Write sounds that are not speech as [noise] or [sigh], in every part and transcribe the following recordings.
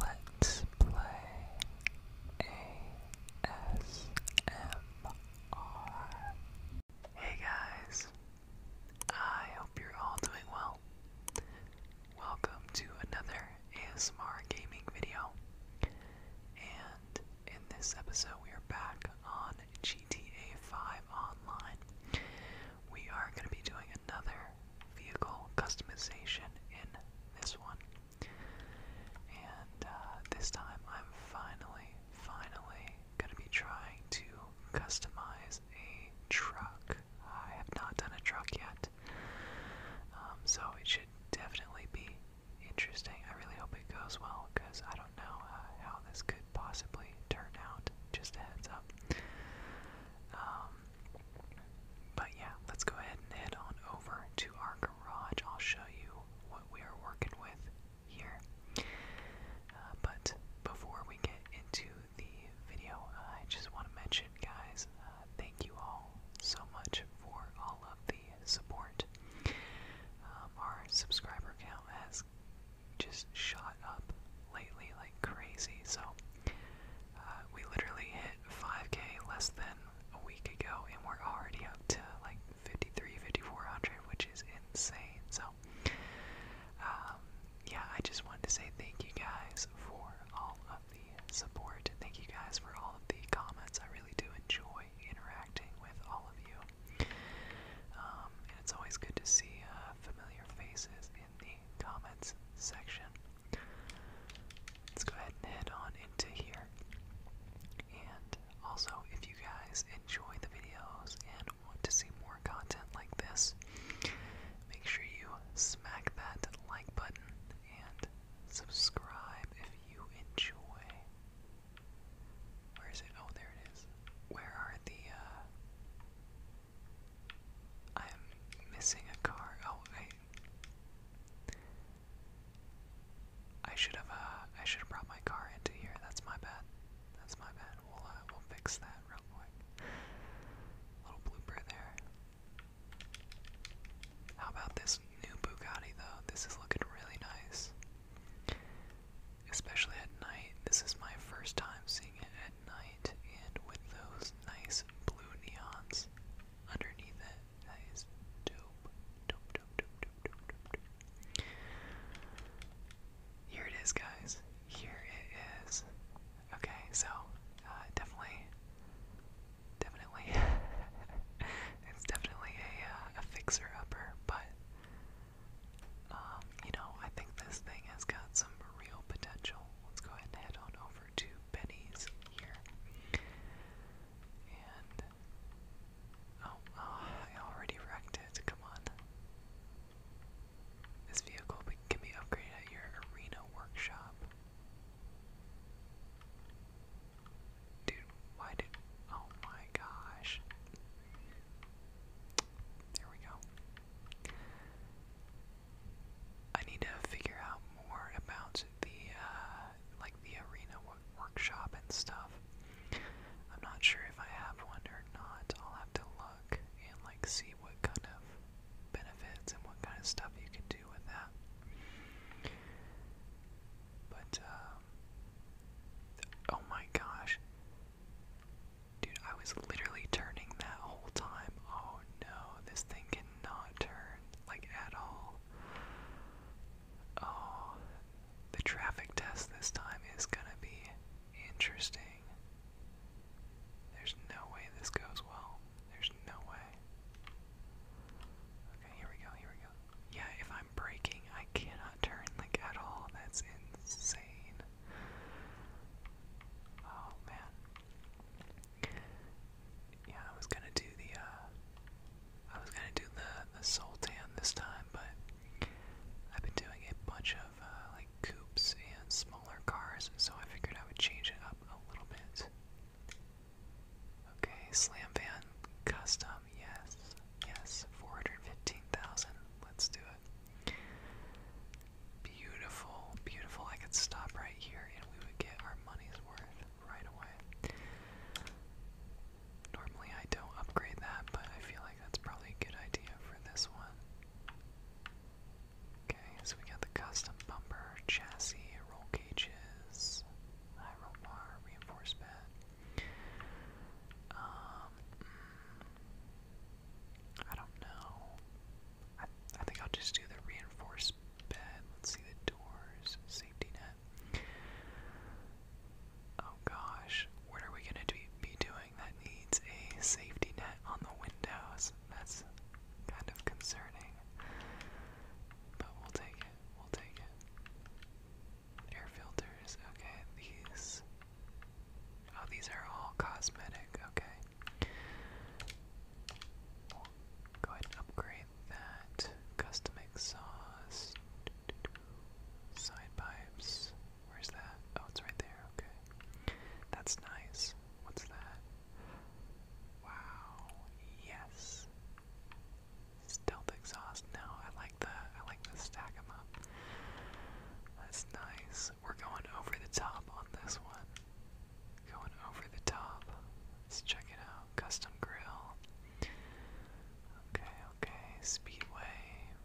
Let's play ASMR. Hey guys, I hope you're all doing well. Welcome to another ASMR gaming video. And in this episode, we are back on GTA 5 Online. We are going to be doing another vehicle customization in this one. And uh, this time I'm finally, finally going to be trying to customize a truck. I have not done a truck yet. Um, so it should definitely be interesting. I really hope it goes well because I don't know uh, how this could possibly turn out. Just a heads up. Um, but yeah, let's go ahead and head on over to our garage. I'll show you what we are working with here. Uh, but before we get into the video, I just want to mention, guys, uh, thank you all so much for all of the support. Um, our subscriber count has just shot up lately like crazy, so uh, we literally hit 5k less than a week ago, and we're already up to like 53, 5400, which is insane. So, um, yeah, I just wanted to say thank you guys for all of the support. Thank you guys for all of the comments. I really do enjoy interacting with all of you. Um, and it's always good to see uh, familiar faces in the comments section. Let's go ahead and head on into here. And also, if you guys enjoy the videos and want to see more content like this, make sure you smack that like button and subscribe if you enjoy. Where is it? Oh, there it is. Where are the, uh, I'm missing a car. Oh, I, I should have uh I should have brought my car into here. That's my bad. That's my bad. We'll uh, we'll fix that real quick. Little blooper there. How about this new Bugatti though? This is looking really nice. Especially at night. This is my first time seeing it at night and with those nice blue neons underneath it. That is dope. Dope, dope, dope, dope, dope, dope, dope. Here it is, guys. Here it is. Okay, so uh, definitely, definitely, [laughs] it's definitely a, uh, a fixer-upper, but um, you know, I think this thing has got some real potential. Let's go ahead and head on over to pennies here. Oh, oh, I already wrecked it. Come on. This vehicle can be upgraded at your arena workshop. Dude, why did. Oh my gosh. There we go. I need to figure out more about the uh, like the arena workshop and stuff. I'm not sure if I have one or not. I'll have to look and like see what kind of benefits and what kind of stuff you can do with that. But um, oh my gosh, dude! I was literally turning that whole time. Oh no, this thing can not turn, like at all. Oh, the traffic test this time is gonna be interesting. There's no way this goes well. There's no way. Okay, here we go, here we go. Yeah, if I'm breaking, I cannot turn like at all. That's insane. Oh man. Yeah, I was gonna do the uh, I was gonna do the the soul this time, but I've been doing a bunch of uh, like coupes and smaller cars, so I figured I would change it up a little bit. Okay, Slam Van Custom, yes, yes, 415,000. Let's do it. Beautiful, beautiful. I could stop right here and we would get our money's worth right away. Normally I don't upgrade that, but I feel like that's probably a good idea for this one. Okay, so we got the custom bumper, chassis, roll cages, high roll reinforced Um, hmm. I don't know. I, think I'll just do the reinforced bed. Let's see the doors, safety net. Oh gosh, what are we gonna be doing that needs a safety net on the windows? That's kind of concerning. But we'll take it, we'll take it. Air filters, okay, these. Oh, these are all cosmetic, okay. go ahead and upgrade that. Custom exhaust. Side pipes. Where's that? Oh, it's right there. Okay. That's nice. What's that? Wow. Yes. Stealth exhaust. No, I like that. I like to stack them up. That's nice. We're going over the top on this one. Going over the top. Let's check it out. Custom grill. Okay, okay. Speedway.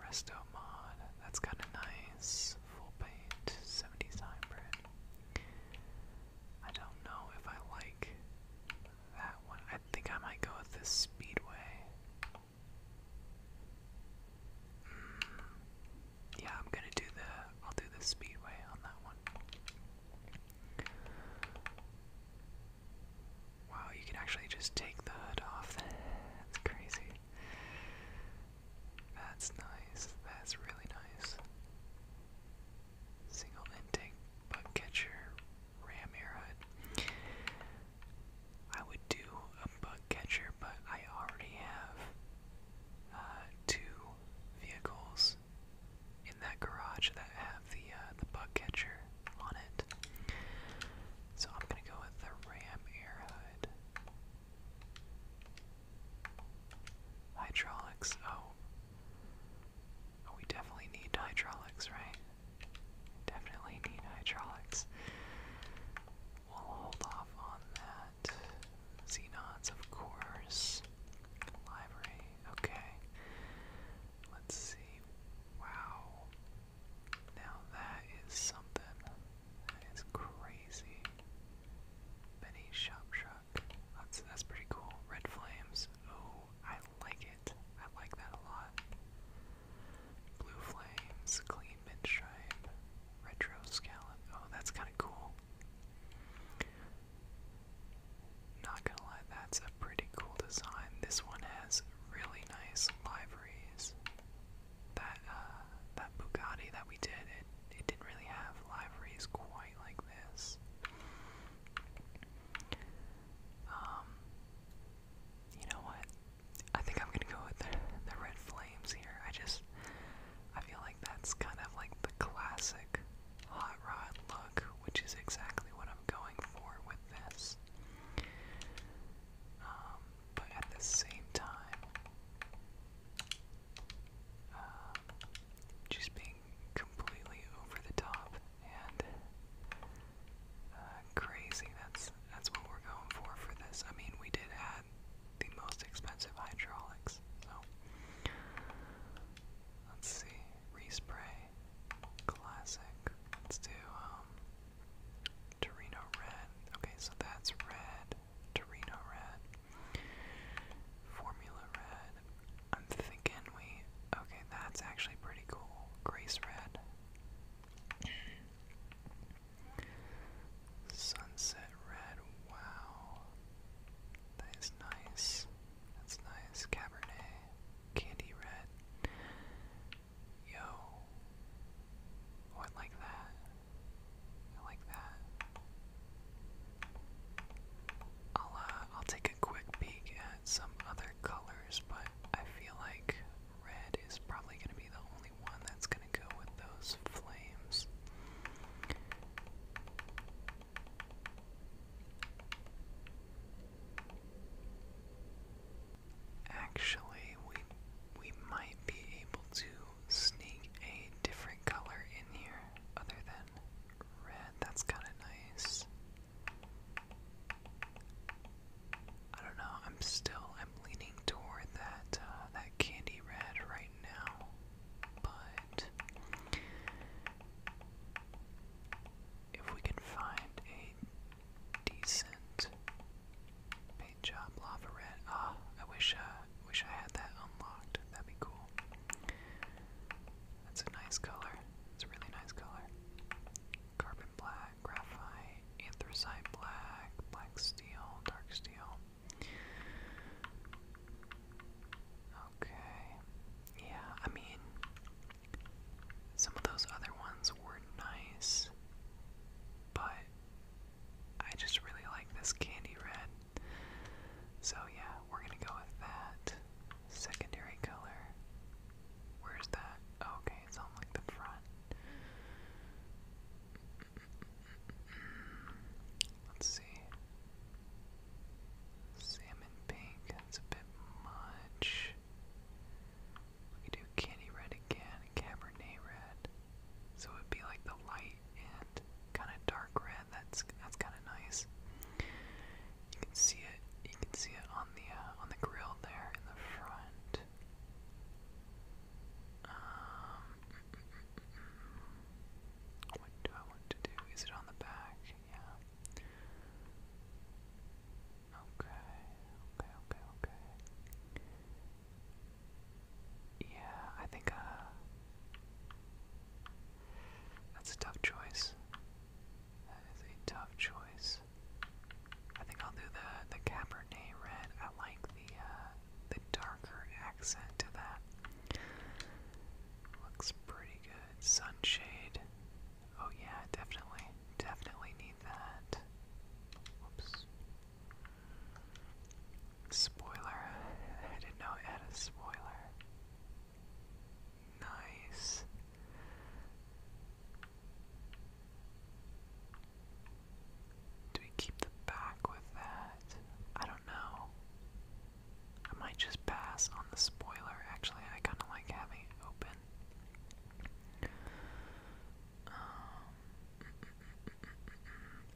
Resto mod. That's kind of nice. Full paint. 70s hybrid. I don't know if I like that one. I think I might go with this Speedway. Hmm. Yeah, I'm gonna do the. I'll do the Speedway on that one. Wow, you can actually just take the hood off. That's crazy. That's nice. That's really nice. Single intake bug catcher ram airhead. I would do a bug catcher, but I already have uh, two vehicles in that garage that have the uh, the bug catcher on it. So I'm gonna go with the Ram Air Hood. Hydraulics. Oh. oh. we definitely need hydraulics, right? Definitely need hydraulics. We'll hold off on that. Xenons, of course. Library okay. Let's see. Wow. Now that is something. That is crazy. Benny Shop Truck. That's that's pretty cool. Red flames. Oh, I like it. I like that a lot. Blue flames, clean midstripe, retro scallop. Oh, that's kinda cool. Not gonna lie, that's a pretty cool design. This one has really nice liveries. That uh, that Bugatti that we did, it it didn't really have liveries quite like this. Um, you know what? I think I'm gonna go with the red flames here. I just I feel like that's kind of like the classic hot rod look, which is exactly what I'm going for with this. Um, but at the same time, uh, just being completely over the top and uh, crazy. That's that's what we're going for for this. I mean, we did add the most expensive hydraulics, Let's see. Respray. Classic. Let's do um Torino Red. Okay, so that's red. Torino Red. Formula Red. I'm thinking we okay, that's actually pretty cool. Grace Red. Sunset Red. Wow. That is nice. That's nice. Cabernet, candy red. Yo. Oh, I like that. I like that. I'll uh, I'll take a quick peek at some other colors, but I feel like red is probably gonna be the only one that's gonna go with those flames. Actually, we we might be able to sneak a different color in here other than red. That's kind of nice. I don't know. I'm still I'm leaning toward that uh, that candy red right now, but if we can find a decent paint job lava red. Ah, I wish uh wish I had that unlocked. That'd be cool. That's a nice color. It's a really nice color. Carbon black, graphite, anthracite black, black steel, dark steel. Okay. Yeah, I mean, some of those other ones were nice, but I just really like this candy red. So, yeah, we're gonna go with that. Secondary color. Where's that? Oh, okay, it's on like the front. Let's see. Salmon pink, that's a bit much. We do candy red again, cabernet red. So it would be like the light and kind of dark red. That's that's kind of nice. You can see it. You can see it on the uh, on the grill there in the front. Um, mm, mm, mm, what do I want to do? Is it on the back? Yeah. Okay, okay, okay, okay. Yeah, I think uh, that's a tough choice. That is a tough choice. I think I'll do the the Cabernet Red. I like the uh, the darker accent to that. Looks pretty good sunshade. Oh yeah, definitely, definitely need that. Whoops. Spoiler. I didn't know it had a spoiler. Nice. Do we keep the back with that? I don't know. I might just pass on the spoiler. Actually, I kind of like having it open. Um,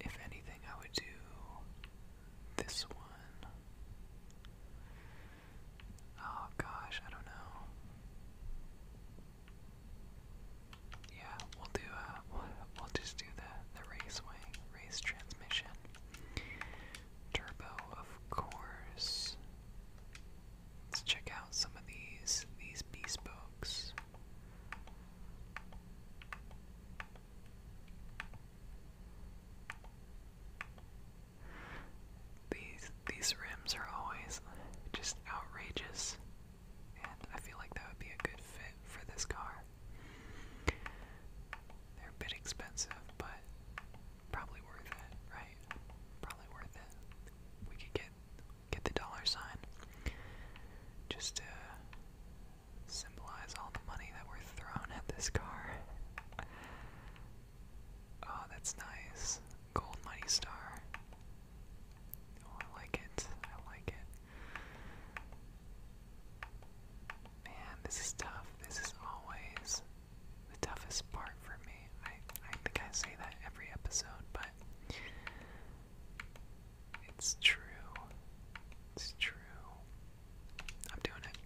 if anything, I would do this one. Oh gosh, I don't know. Yeah, we'll do. Uh, we'll just do the the raceway race transmission. Turbo, of course. Let's check out some of these these bespokes. These these rims are always just outrageous, and I feel like that would be a good fit for this car. They're a bit expensive, but Probably worth it, right? Probably worth it. We could get get the dollar sign just to symbolize all the money that we're throwing at this car. Oh, that's nice. Gold money star. Oh, I like it. I like it. Man, this is tough. This is always the toughest part for me. I, I think I say that every episode, but it's true. It's true. I'm doing it.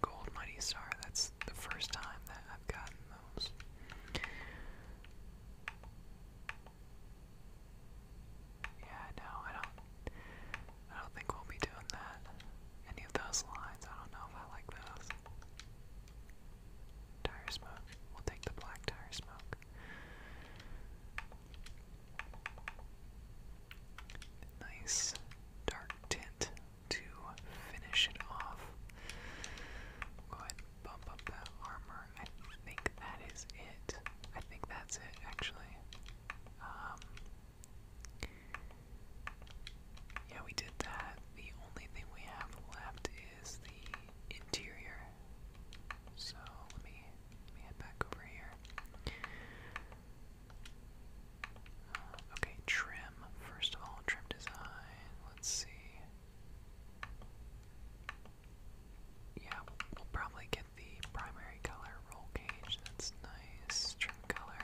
Gold Mighty Star. That's the first time that I've gotten those. Yeah, no, I don't I don't think we'll be doing that. Any of those lines. I don't know if I like those. Tire smoke. We'll take the black tire smoke. Nice dark tint to finish it off. Go ahead bump up that armor. I think that is it. I think that's it, actually. Um, yeah, we did that. The only thing we have left is the interior. So let me let me head back over here. Uh, okay, trim. First of all, trim design. Let's see. Yeah, we'll probably get the primary color roll cage. That's nice. Trim color.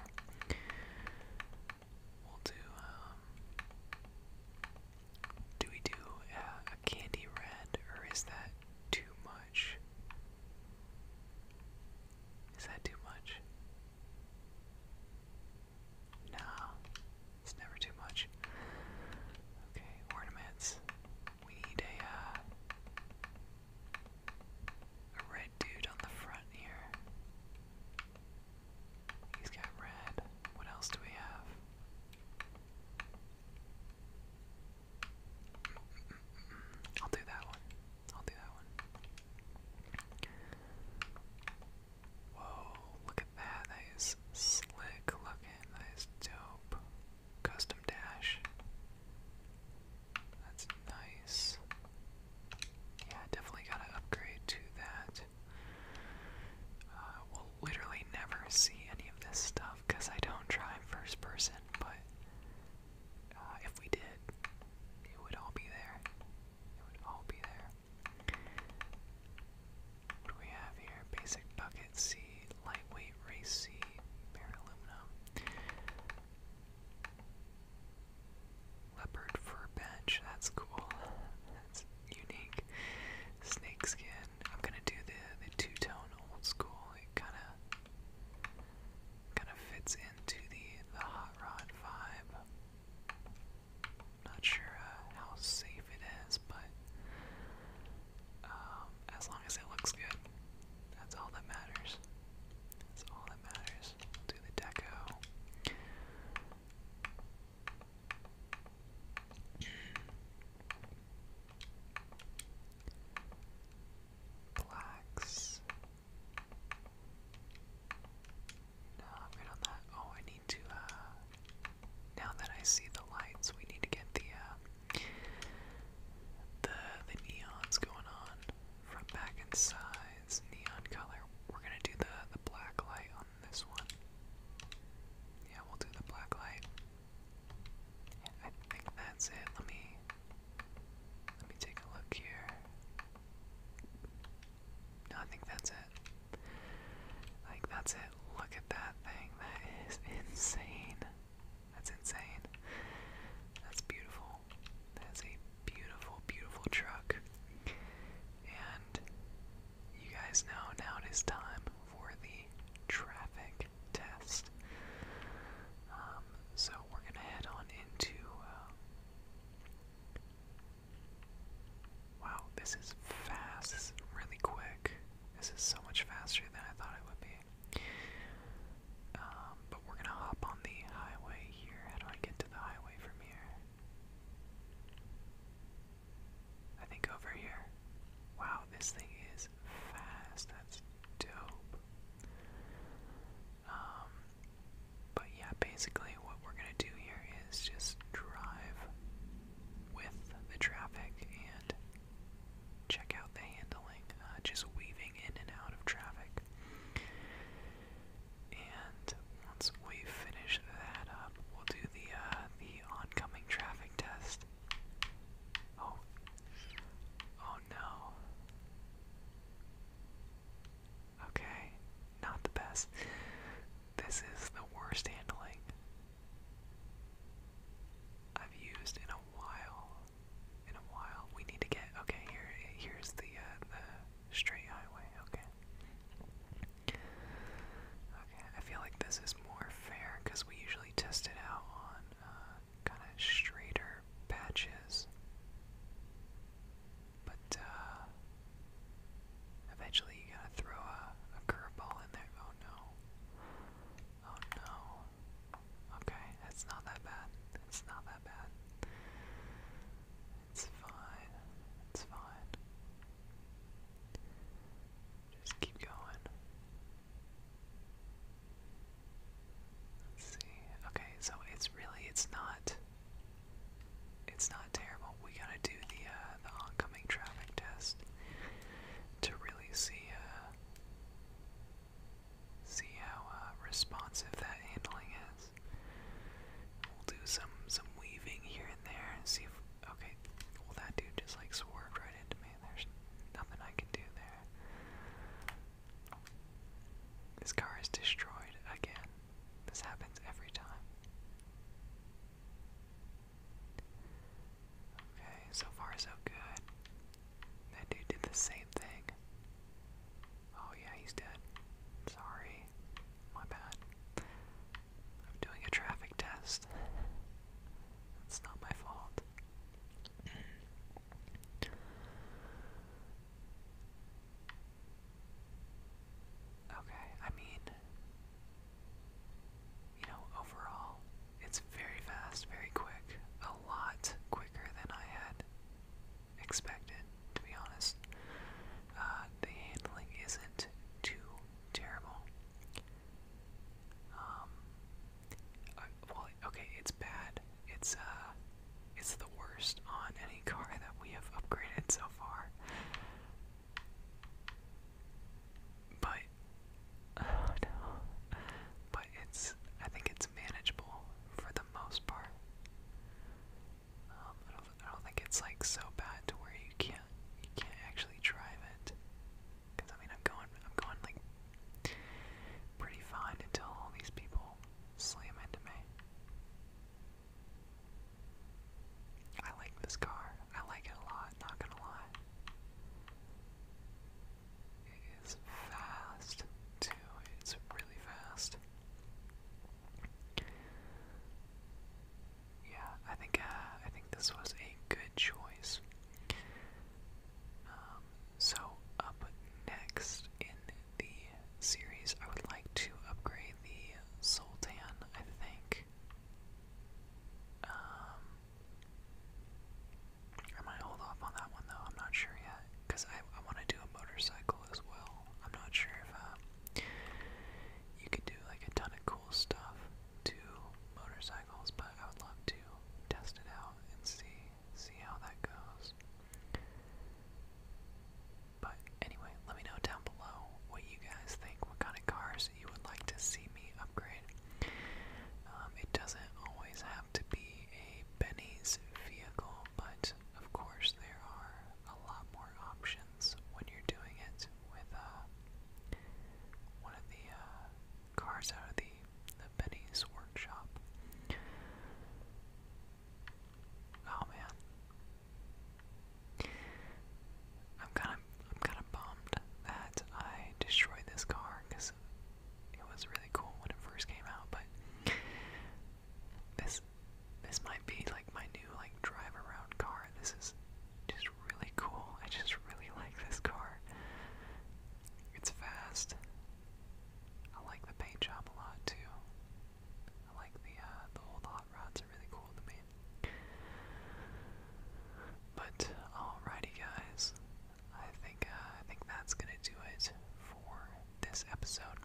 We'll do, um, do we do a candy red, or is that too much? Is that too much? Nah, it's never too much. Okay, ornaments. We need a, uh, a red dude on the front here. He's got red. What else do we have? I'll do that one. I'll do that one. Whoa, look at that. That is slick looking. That is dope. Custom dash. That's nice. Yeah, definitely gotta upgrade to that. Uh, we'll literally never see any of this stuff because I don't try first person, but uh, if we did, it would all be there. It would all be there. What do we have here? Basic bucket seed, lightweight race bare aluminum leopard fur bench. That's cool. That's unique. Snake skin. I'm gonna do the the two tone old school. It kind of kind of fits into the the hot rod vibe. Not sure uh, how safe it is, but um, as long as it looks good, that's all that matters we do the deco. Blacks. No, good on that. Oh, I need to, uh, now that I see the lights, we need to get the, uh, the, the neons going on. Front, back, and sides, neon color. We're gonna do the the black light on this one. Yeah, we'll do the black light. I think that's it. Let me let me take a look here. I think that's it. I that's it. Look at that thing. That is [laughs] insane. That's insane. That's beautiful. That's a beautiful, beautiful truck. And you guys know now it is time for the traffic test. Um, so we're going to head on into. Uh, wow, this is fast. This is really quick. This is so much faster than I thought it would be. Um, but we're gonna hop on the highway here. How do I get to the highway from here? I think over here. Wow, this thing is fast. That's dope. Um, but yeah, basically what we're gonna do here is just drive with the traffic and check out the handling, uh, just weaving in and out of traffic. And once we finish that up, we'll do the uh, the oncoming traffic test. Oh, oh no. Okay, not the best. This is the worst handling I've used in a while. In a while, we need to get okay. Here, here's the uh, the Straight highway, okay. Okay, I feel like this is more fair because we usually test it out on uh, kind of straighter patches. But uh, eventually you gotta throw a, a curveball in there. Oh no. Oh no. Okay, that's not that bad. It's not that bad. It's fine. It's fine. Just keep going. Let's see. Okay, so it's really it's not it's not terrible. We gotta do the uh, the oncoming traffic test to really see uh, see how uh, responsive that handling is. We'll do some some weaving here and there and see if okay. Well, that dude just like swerved right into me. There's nothing I can do there. This car is destroyed again. This happens every time. Okay, so far so good. That dude did the same thing. Oh yeah, he's dead. Sorry. My bad. I'm doing a traffic test. It's not my fault. Okay, I mean, you know, overall, it's very fast, very quick, a lot quicker than I had expected to be honest. Uh, the handling isn't too terrible. Um, well, okay, it's bad. It's uh, it's the worst on any car that we have upgraded so far. But [sighs] no, but it's I think it's manageable for the most part. Um, I I don't think it's like so bad to where you can't, you can't actually drive it. Cause I mean, I'm going, I'm going like pretty fine until all these people slam into me. I like this car. I like it a lot. Not gonna lie. It is fast too. It's really fast. Yeah, I think uh, I think this was a good choice. Um, so up next in the series, I would like to upgrade the Sultan. I think. Um, I might hold off on that one though. I'm not sure yet because I I want to do a motorcycle as well. I'm not sure if. Uh, you could do like a ton of cool stuff to motorcycles, but I would love to test it out and see see how that goes. But anyway, let me know down below what you guys think, what kind of cars you would like to see me upgrade. Um, it doesn't always have to be a Benny's vehicle, but of course there are a lot more options when you're doing it with uh, one of the uh, cars out of the, the Benny's workshop. Oh man, I'm kind of I'm kind of bummed that I destroyed this car because it was really cool when it first came out, but this this might be like my new like drive around car. This is just really cool. I just really like this car. It's fast. I like the paint job a lot too. I like the uh, the old hot rods are really cool to me. But alrighty, guys. I think uh, I think that's gonna do it for this episode.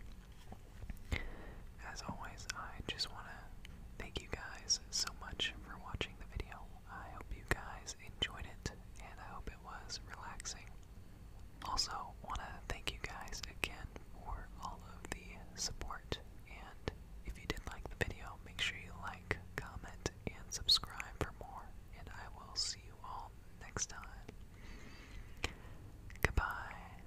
As always, I just want to thank you guys so much for watching the video. I hope you guys enjoyed it, and I hope it was relaxing. Also, want to thank you guys again for all of the support. And if you did like the video, make sure you like, comment, and subscribe for more. And I will see you all next time. Goodbye.